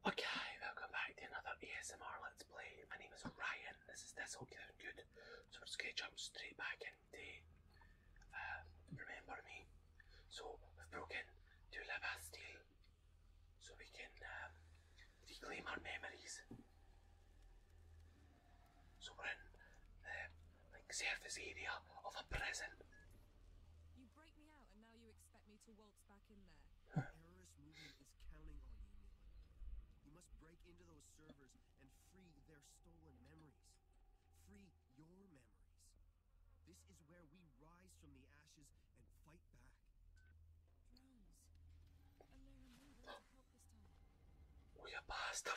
Okay, welcome back to another ASMR Let's Play. My name is Ryan, this is This Hope you Good. So we're going to jump straight back into um, Remember Me. So we've broken to La Bastille so we can um, reclaim our memories. So we're in like, surface area of a prison. You break me out, and now you expect me to waltz back in there. Terrorist movement is counting on you, You must break into those servers and free their stolen memories. Free your memories. This is where we rise from the ashes and fight back. Drones. Alone, we are past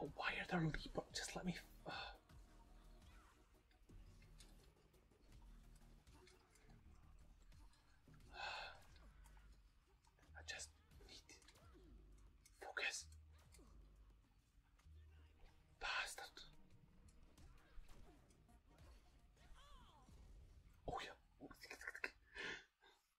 Oh, why are there leap up? Just let me. I just need focus. Bastard. Oh yeah.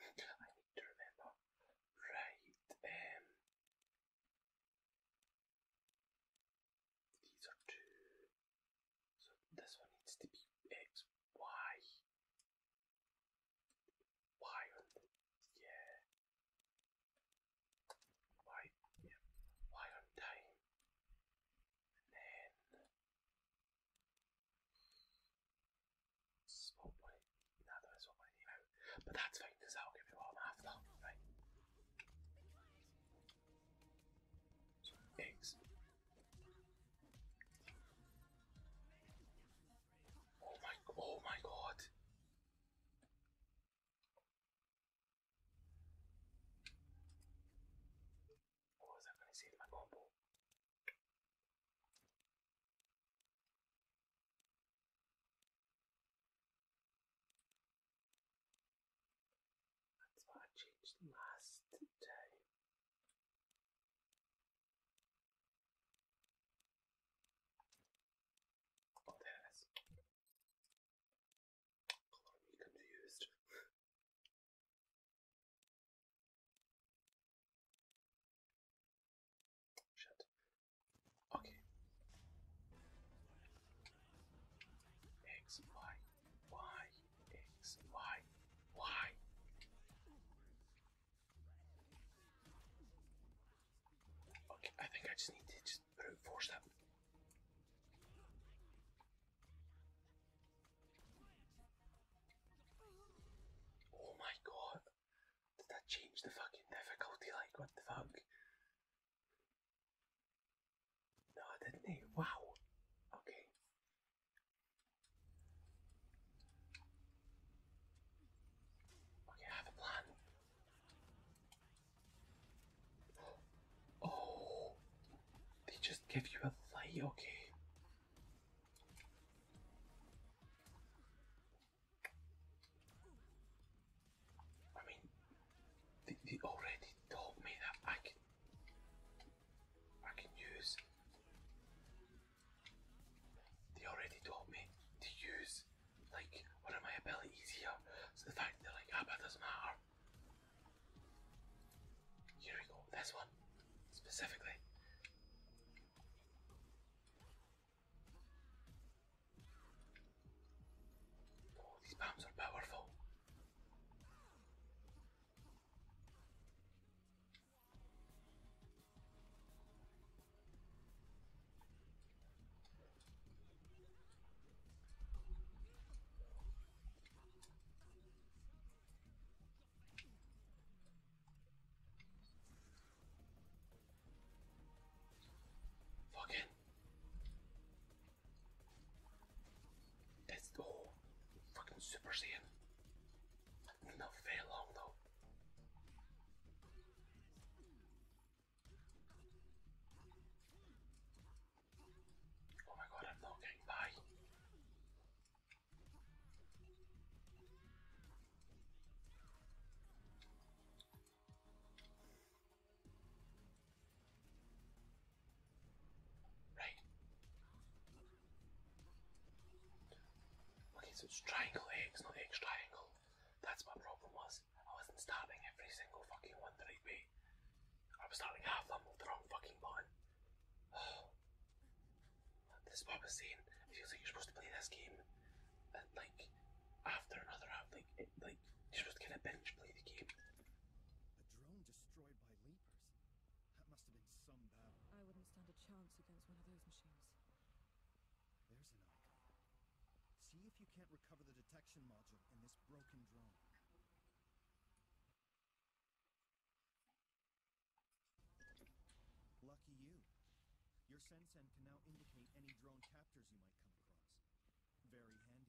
I need to remember. Right, um, these are two. So this one needs to be X, Y. Y on yeah. Y, yeah. Y on time. And Spot money. No, there is spot money anyway. But that's fine because that'll give me what I'm Right. So, Oh my, oh my god. What was I going to save my combo? That's what I changed last time. Oh, there Color me confused. Okay. X, Y, Y, X, Y, Y. Okay, I think I just need to just brute that. Oh my god. Did I change the fucking difficulty? Like, what the fuck? No, didn't. He? Wow. Okay. Okay, I have a plan. Oh. They just give you a light, okay? I mean, they, they already told me that I can, I can use. They already told me to use like one of my abilities here. So the fact that like, ah, but doesn't matter. Here we go, this one specifically. Oh, these bombs are powerful. Fucking. That's oh, fucking Super Saiyan. Not very long though. Oh my god, I'm not getting by. Right. Okay, so it's triangle X, not X triangle. That's my problem was I wasn't stabbing every single fucking one the right way. I am starting half them with the wrong fucking button. This is what I was saying. It feels like you're supposed to play this game, and like after another half, like it, like you're supposed to kind of bench play the game. A drone destroyed by leapers. That must have been some battle. I wouldn't stand a chance against one of those machines. There's an icon. See if you can't recover the detection module in this broken drone. Lucky you. Your sensen can now indicate any drone captors you might come across. Very handy.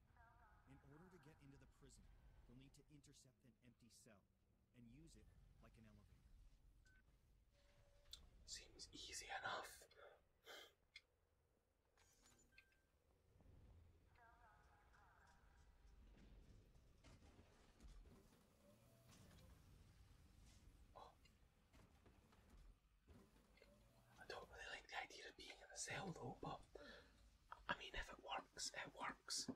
In order to get into the prison, you'll need to intercept an empty cell and use it like an elevator. Seems easy enough. Oh. I don't really like the idea of being in a cell though, but I mean, if it works, it works.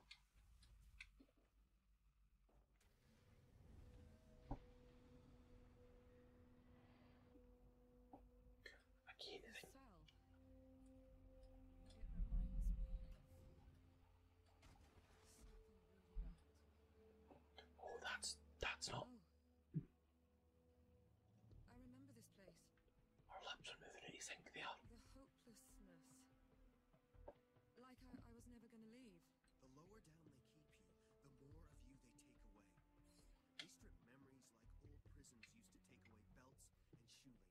Again, Oh, that's that's not. Her lips are moving and you think they are. The hopelessness. Like I, was never gonna leave. The lower down they keep you, the more of you they take away. They strip memories like old prisons used to take away belts and shoelaces.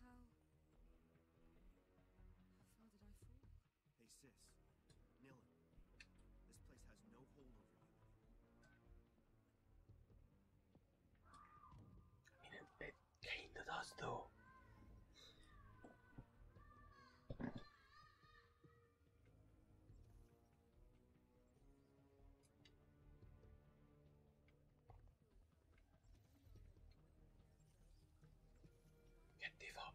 How... How far did I fall? Hey, sis. Nilin. This place has no hold over you. I mean, it, it kinda though. Get the fuck.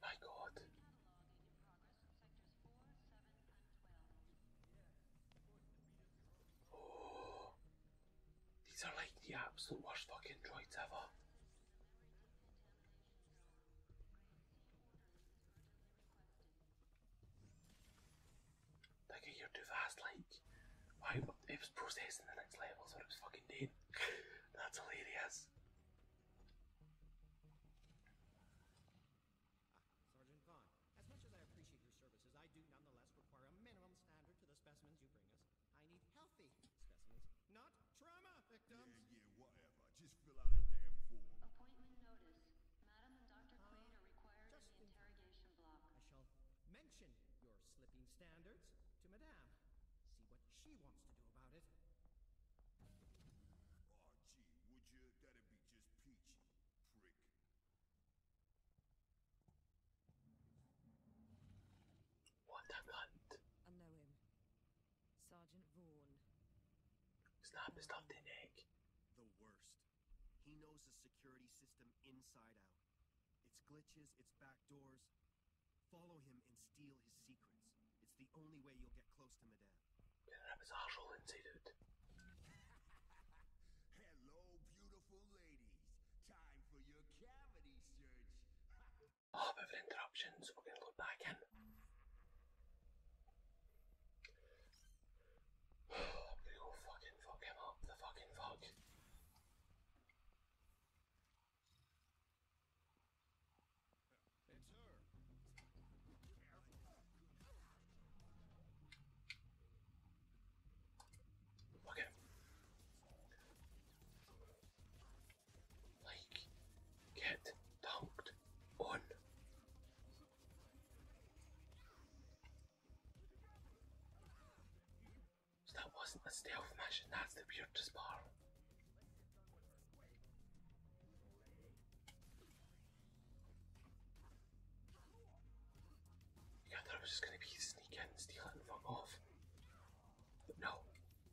My God. Oh, these are like the absolute worst fucking droids ever. Like a year too fast, like why it was processing the next level, so it was fucking dead. That's hilarious. Sergeant Vaughn, as much as I appreciate your services, I do nonetheless require a minimum standard to the specimens you bring us. I need healthy specimens, not Trauma victims. Yeah, whatever. Just fill out a damn form. Appointment notice. Madam and Dr. Quaid are required in the interrogation block. I shall mention your slipping standards to Madame. See what she wants to do about it. Oh, gee, would you? That'd be just peachy, prick. What a cunt. I Sergeant Vaughan. Snap is not thin egg. The worst. He knows the security system inside out. Its glitches, its back doors. Follow him and steal his secrets. It's the only way you'll get close to Madame. Kendine bir sarhoş Hello, beautiful ladies. Time for your cavity search. Oh, bit of an we're going to load back in. I'm going to go fucking fuck him up, the fucking fuck. Okay like get dunked on. So that wasn't a stealth mission, that's the weirdest part. I thought it was just gonna be sneak in, and fuck off. no,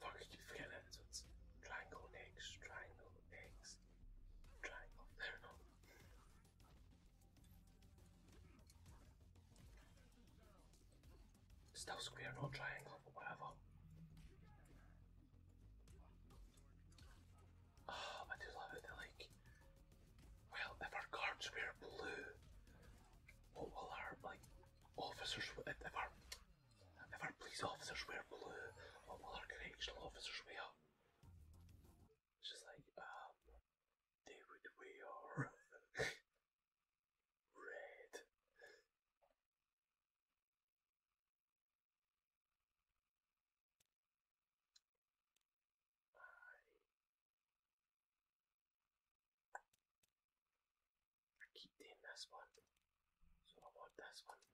Fuck, I keep forgetting that. So it's triangle eggs, triangle eggs, triangle. There we Still square, not triangle, but whatever. Oh, I do love it. They're like, well, if our cards were blue, what will our like officers? If our Never police officers wear blue, all other correctional officers wear. It's just like, um, they would wear red. I keep doing this one, so I want this one to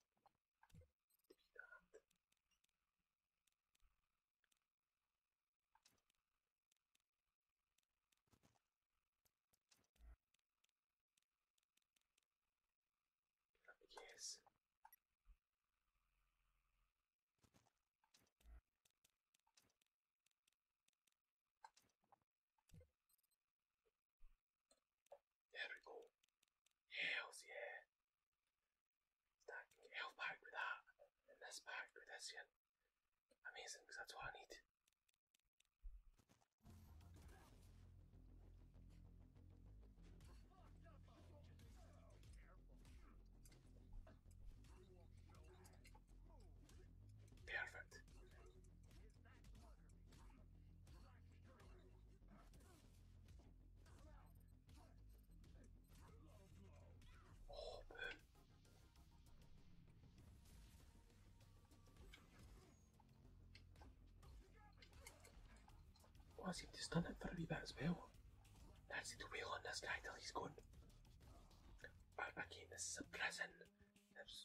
there we go. Hells yeah. Stack health pack with that, and this pack with this here. Amazing, because that's what I need. Perfect. Oh, boom. Why has he just done it for a bit as well? That's the wheel on this guy till he's gone. again, this is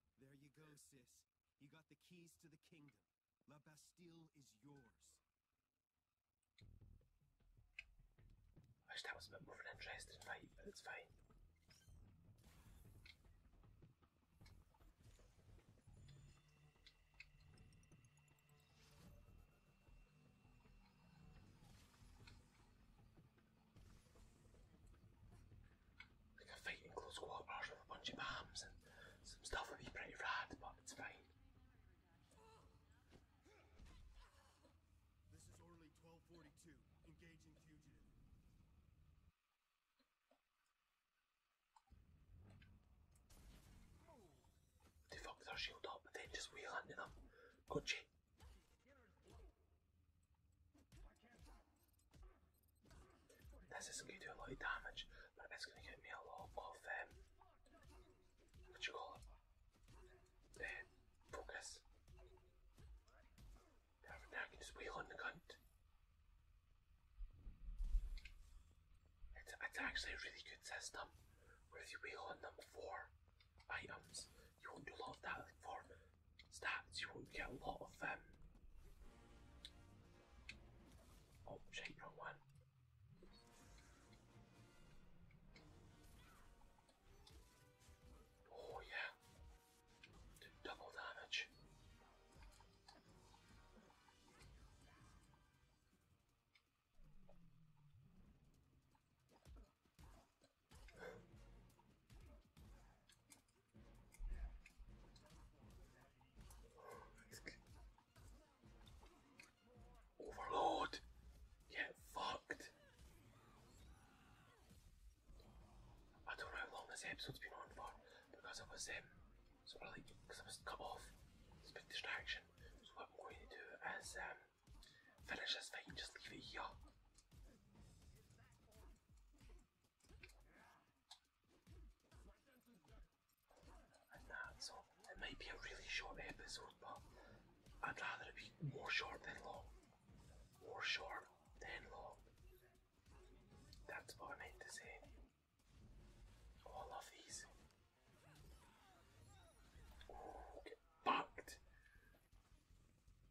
There you go, sis. You got the keys to the kingdom. La Bastille is yours. I wish that was a bit more of an interesting fight, but it's fine. Like a fight close quarters with a bunch of arms and some stuff would be pretty rad, but it's fine. This is Orderly 1242, engaging fugitive. They fuck their shield up and then just wheel into them, could you? This is going to do a lot of damage, but it's going to get me a lot of um, what you call it? Uh, focus. Now I can just wheel on the cunt. It's, it's actually a really good system where if you wheel on them for items, you won't do a lot of damage for stats, you won't get a lot of them. Um... one. Oh, yeah. double damage. Overlord, get fucked. I don't know how long this episode's been on for because I was um, sort of because I was cut off. It's a big distraction. So what I'm going to do is um finish this thing, just leave it here. so it might be a really short episode, but I'd rather it be more short than long. More short than long. That's what I meant to say. Oh, I these. get bucked!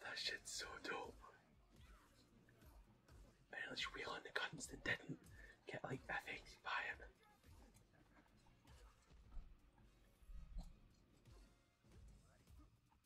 that shit's so dope. And let's reel the guns that didn't get like effing by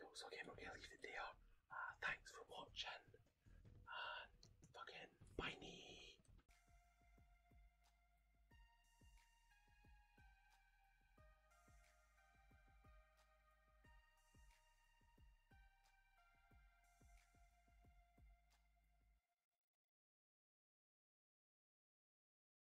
Cool, so again, leave it there. Uh, ah, thanks for watching. And ah, fucking bye -nie.